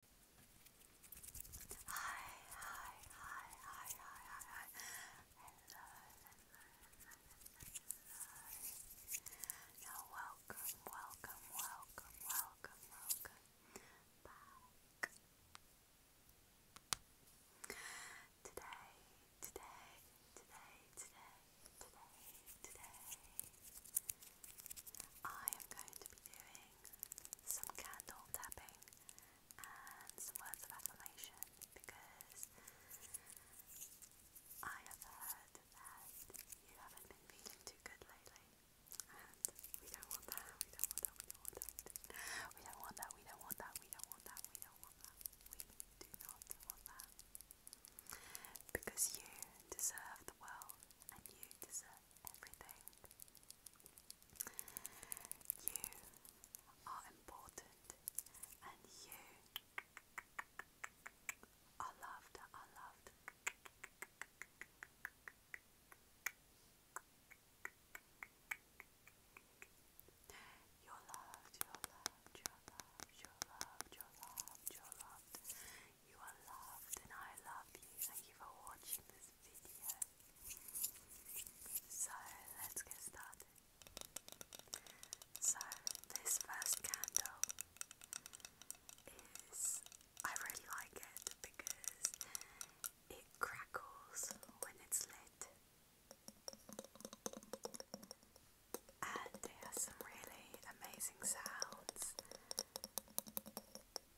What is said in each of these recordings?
Hi, hi, hi, hi, hi, hi, hi. Hello, hello, hello, hello. Now welcome, welcome, welcome, welcome, welcome back. Today, today, today, today, today, today, I am going to be doing reading, some candle tapping, and some words of affirmation because I have heard that you haven't been feeling too good lately, and we don't want that, we don't want that, we don't want that, we don't want that, we don't want that, we do not want that. Because you deserve the world and you deserve everything. You are important and you are loved, are loved. You're loved, you're loved, you're loved, you're loved, you are loved and I love you. Thank you for watching this video. So let's get started. So this first candle is I really like it because it crackles when it's lit. And it has some really amazing sounds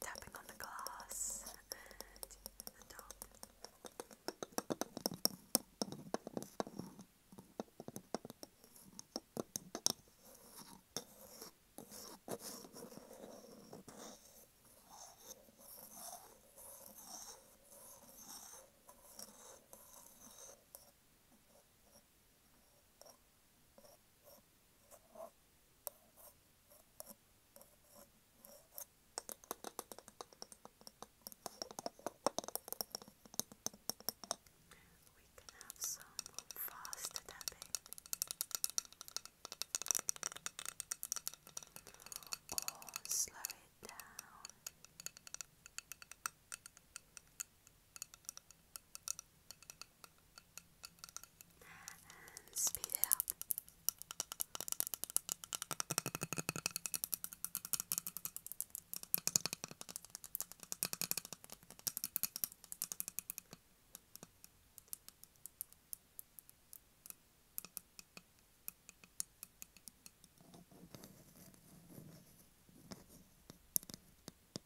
tapping on the glass and the top. We can have some fast tapping or oh, slow it down. Or and speed it up.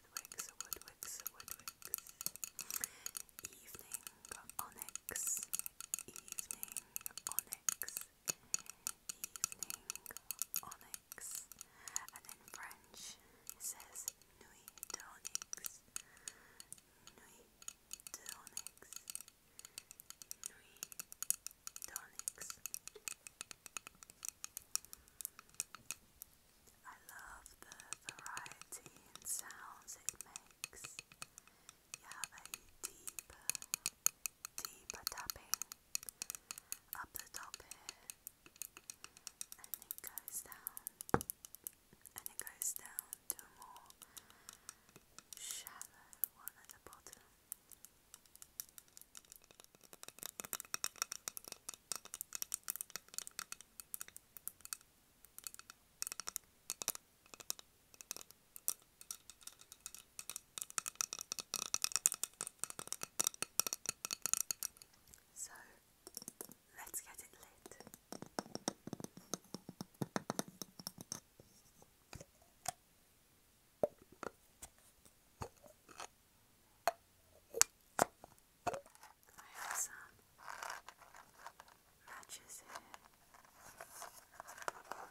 Woodwicks, Woodwicks, Woodwicks. Evening Onyx, Evening Onyx, Evening Onyx. And in French it says Nuit d'Onyx, Nuit d'Onyx, Nuit d'Onyx. I love the variety in sounds it makes. You have a deeper, deeper tapping up the top here, and it goes down, and it goes down to more shallow one at the bottom. So let's get it lit. I have some matches here. Light.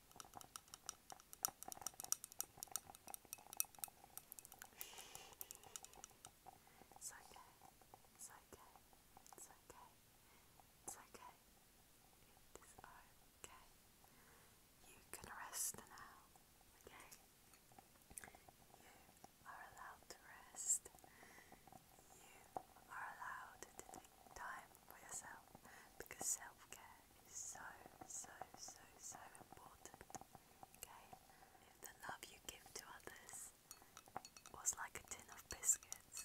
It's okay. It's okay. It's okay. It's okay. It is okay. You can rest now. Okay. You are allowed to rest. You are allowed to take time for yourself because self care is so, so, so, so important. Okay? If the love you give to others was like a tin of biscuits,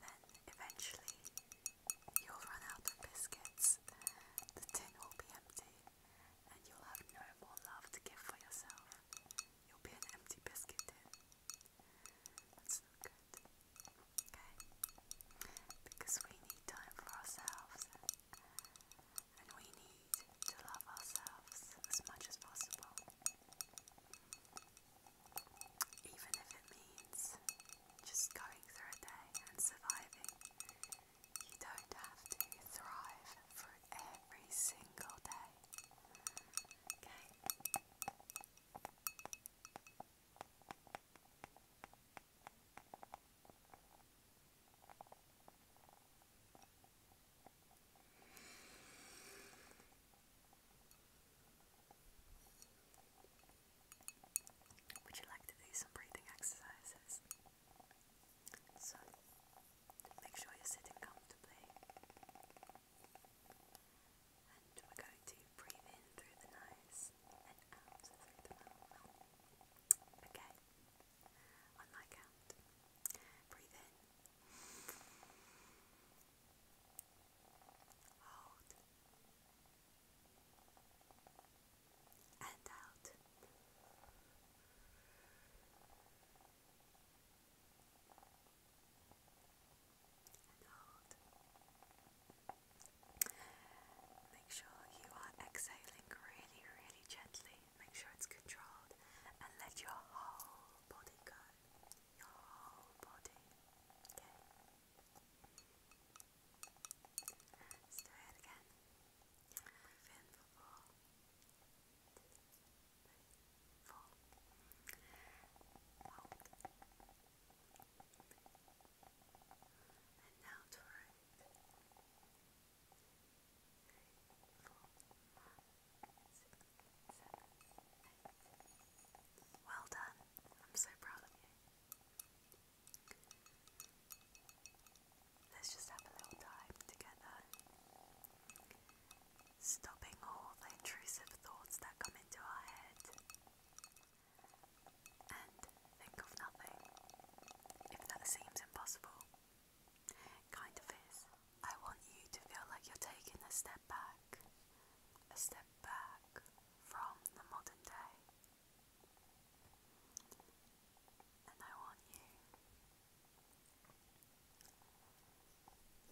then eventually you'll run out of biscuits, the tin will be empty, and you'll have no more love to give for yourself. You'll be an empty biscuit tin. That's not good. Okay? Because we need time for ourselves and we need to love ourselves as much as possible. Even if it means just going through a day and surviving, you don't have to thrive for every single day. Okay? Would you like to do some breathing exercises? So, make sure you're sitting comfortably. And we're going to breathe in through the nose and out through the mouth. Okay. On my count. Breathe in. Hold. And out and hold. Make sure you are exhaling really, really gently. Make sure it's controlled and let your whole body go. Your whole body. Okay? Let's do it again. Breathe in for four. Breathe out for fall. Well done. I'm so proud of you. Let's just have a little time together stopping all the intrusive thoughts that come into our head. And think of nothing. If that seems impossible, kind of is. I want you to feel like you're taking a step back, a step back from the modern day. And I want you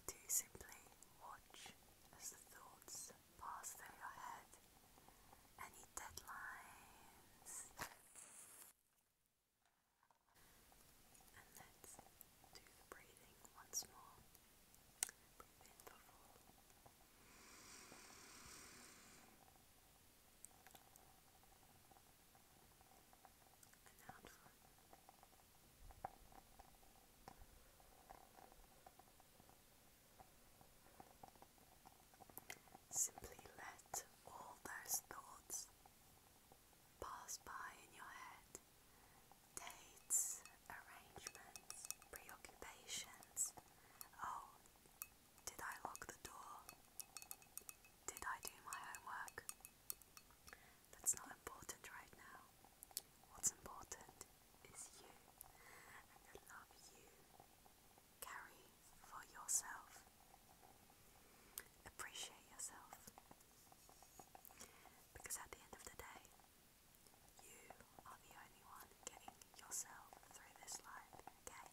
do simply watch as the thoughts pass through your head. Any deadlines? And let's do the breathing once more. Breathe for four. And out for Simply let all those thoughts pass by in your head. Dates, arrangements, preoccupations. Oh, did I lock the door? Did I do my homework? That's not important right now. What's important is you and the love you carry for yourself. Appreciate yourself. Because at the end of the day, you are the only one getting yourself through this life, okay?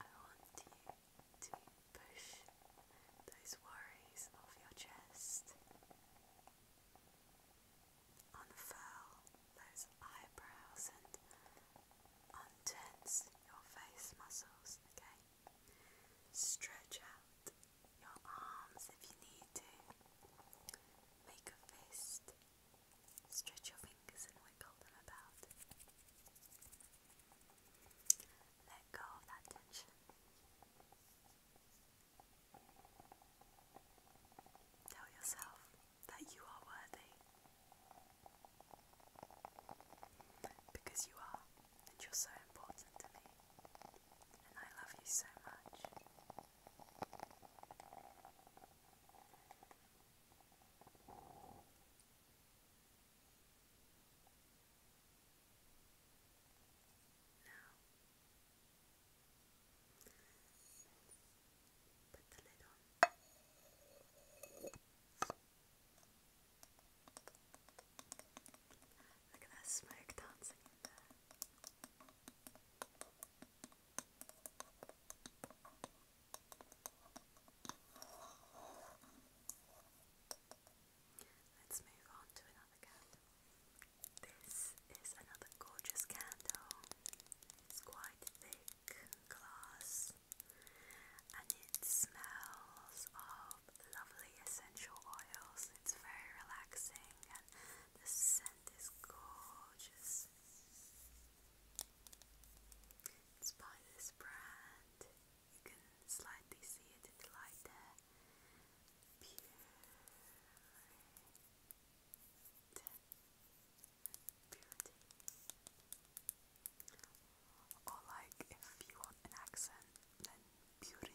I want you to push those worries off your chest, unfurl those eyebrows and untense your face muscles, okay? Stretch out your arms if you need to. Make a fist. Stretch your fingers and wiggle them about. Let go of that tension. Tell yourself that you are worthy. Because you are, and you're so important to me. And I love you so much. Now, put the lid on. Look at that smoke dancing in there. Let's move on to another candle. This is another gorgeous candle. It's quite thick glass and it smells of lovely essential oils. It's very relaxing and the scent is gorgeous. It's by this brand. You can slightly see it in the light there. Pure Or like if you want an accent, then purity.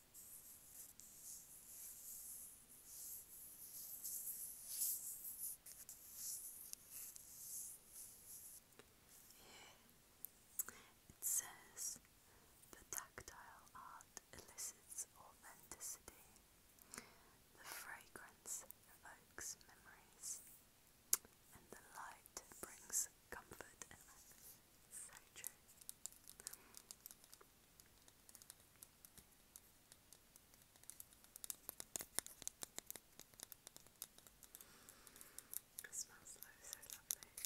Here it says the tactile art elicits authenticity, the fragrance evokes memories, and the light brings comfort. And so it smells like so lovely.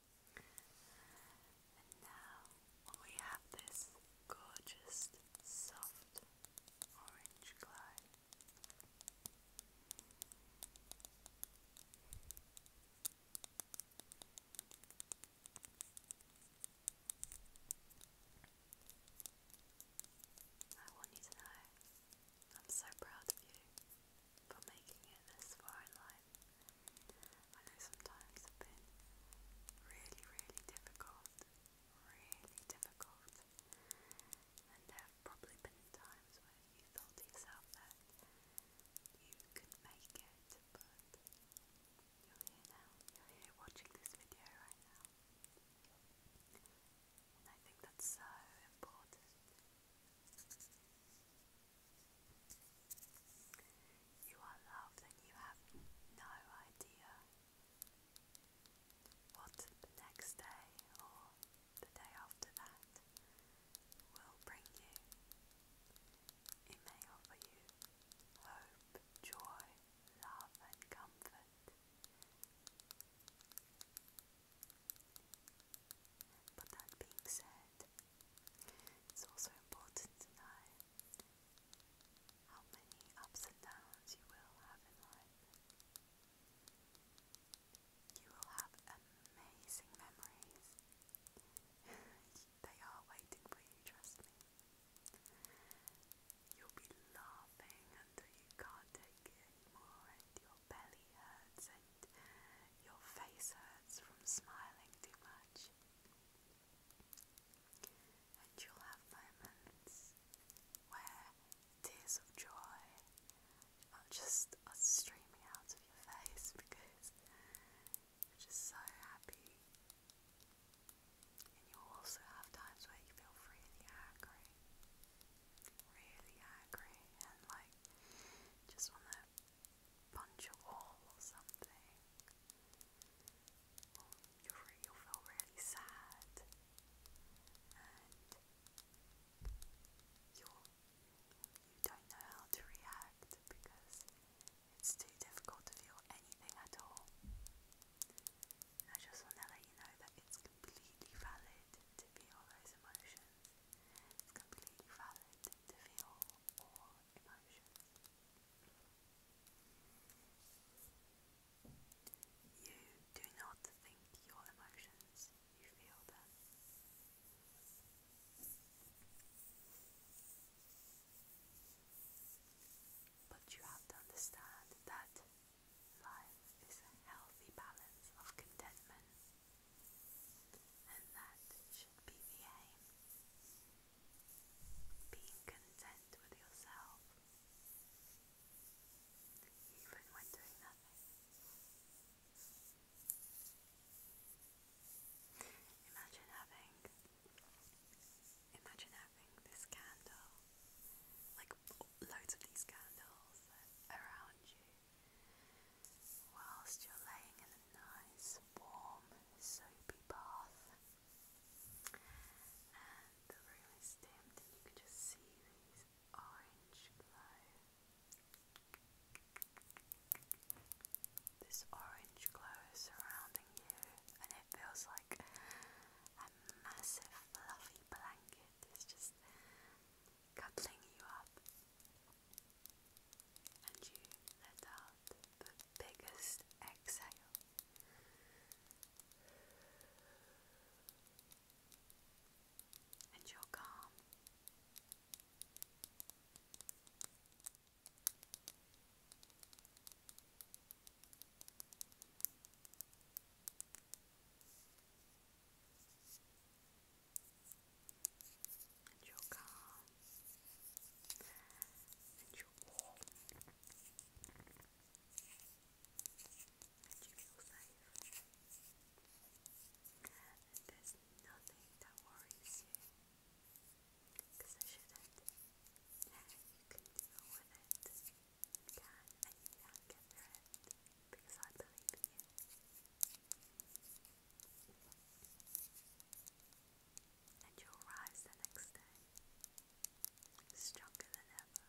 And now we have this gorgeous soft orange glide. I want you to know I'm so proud of you for making it this far in life time. I know sometimes have been really, really difficult, really difficult, and there have probably been times when you thought to yourself that you could make it, but you're here now, you're here watching this video right now. And I think that's so important. You are loved and you have no idea what the next day or the day after that will bring you. It may offer you hope, joy, love, and comfort. But that being said, it's also important to know how many ups and downs you will have in life. You will have amazing memories. they are waiting for you, trust me. You'll be laughing until you can't take it anymore, and your belly hurts and your face hurts from smiling too much. And you'll have moments where tears of joy are just are streaming out of your face because you're just so happy. And you'll also have times where you feel really angry. Really angry and like just wanna punch a wall or something, you feel really sad, and you'll, you you do not know how to react because it's too difficult to feel anything at all. And I just want to let you know that it's completely valid to feel those emotions. It's completely valid to feel all emotions. You do not think your emotions, you feel them. But you have to understand that life is a healthy balance of contentment and that should be the aim. Being content with yourself, even when doing nothing. Imagine having, imagine having this candle, like loads of these candles around you, whilst you're laying in a nice, warm, soapy bath. And the room is dimmed, and you can just see these orange glow. This orange glow is surrounding you, and it feels like a massive, fluffy blanket is just cuddling you up and you let out the biggest exhale. And you're calm and your car, and your wall, and you feel safe. And there's nothing that worries you, I shouldn't. You can deal with it. and you can get through it, because I believe in you. And you'll rise the next day stronger than ever.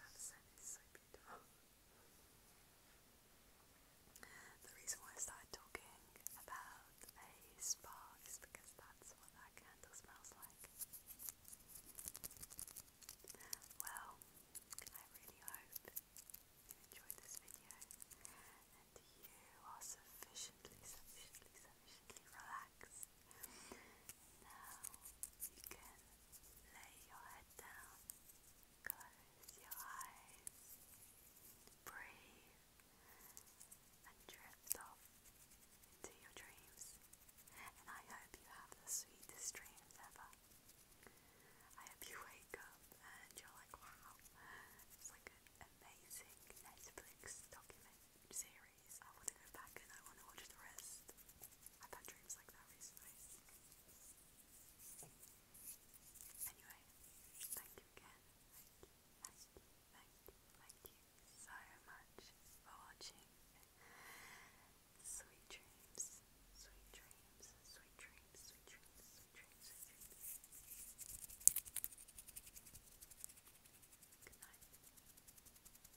That The reason why I started talking about a spa is because that's what that candle smells like. Well, I really hope you enjoyed this video and you are sufficiently, sufficiently, sufficiently relaxed now you can lay your head down, close your eyes, breathe, and drift off into your dreams. And I hope you have the sweetest dreams ever. I hope you wake up and you're like, wow, it's like an amazing Netflix document series. I want to go back and I want to watch the rest. I've had dreams like that recently. Anyway, thank you again. thank you, thank you, thank you so much for watching. Sweet dreams, sweet dreams, sweet dreams, sweet dreams, sweet dreams, sweet dreams. Good night.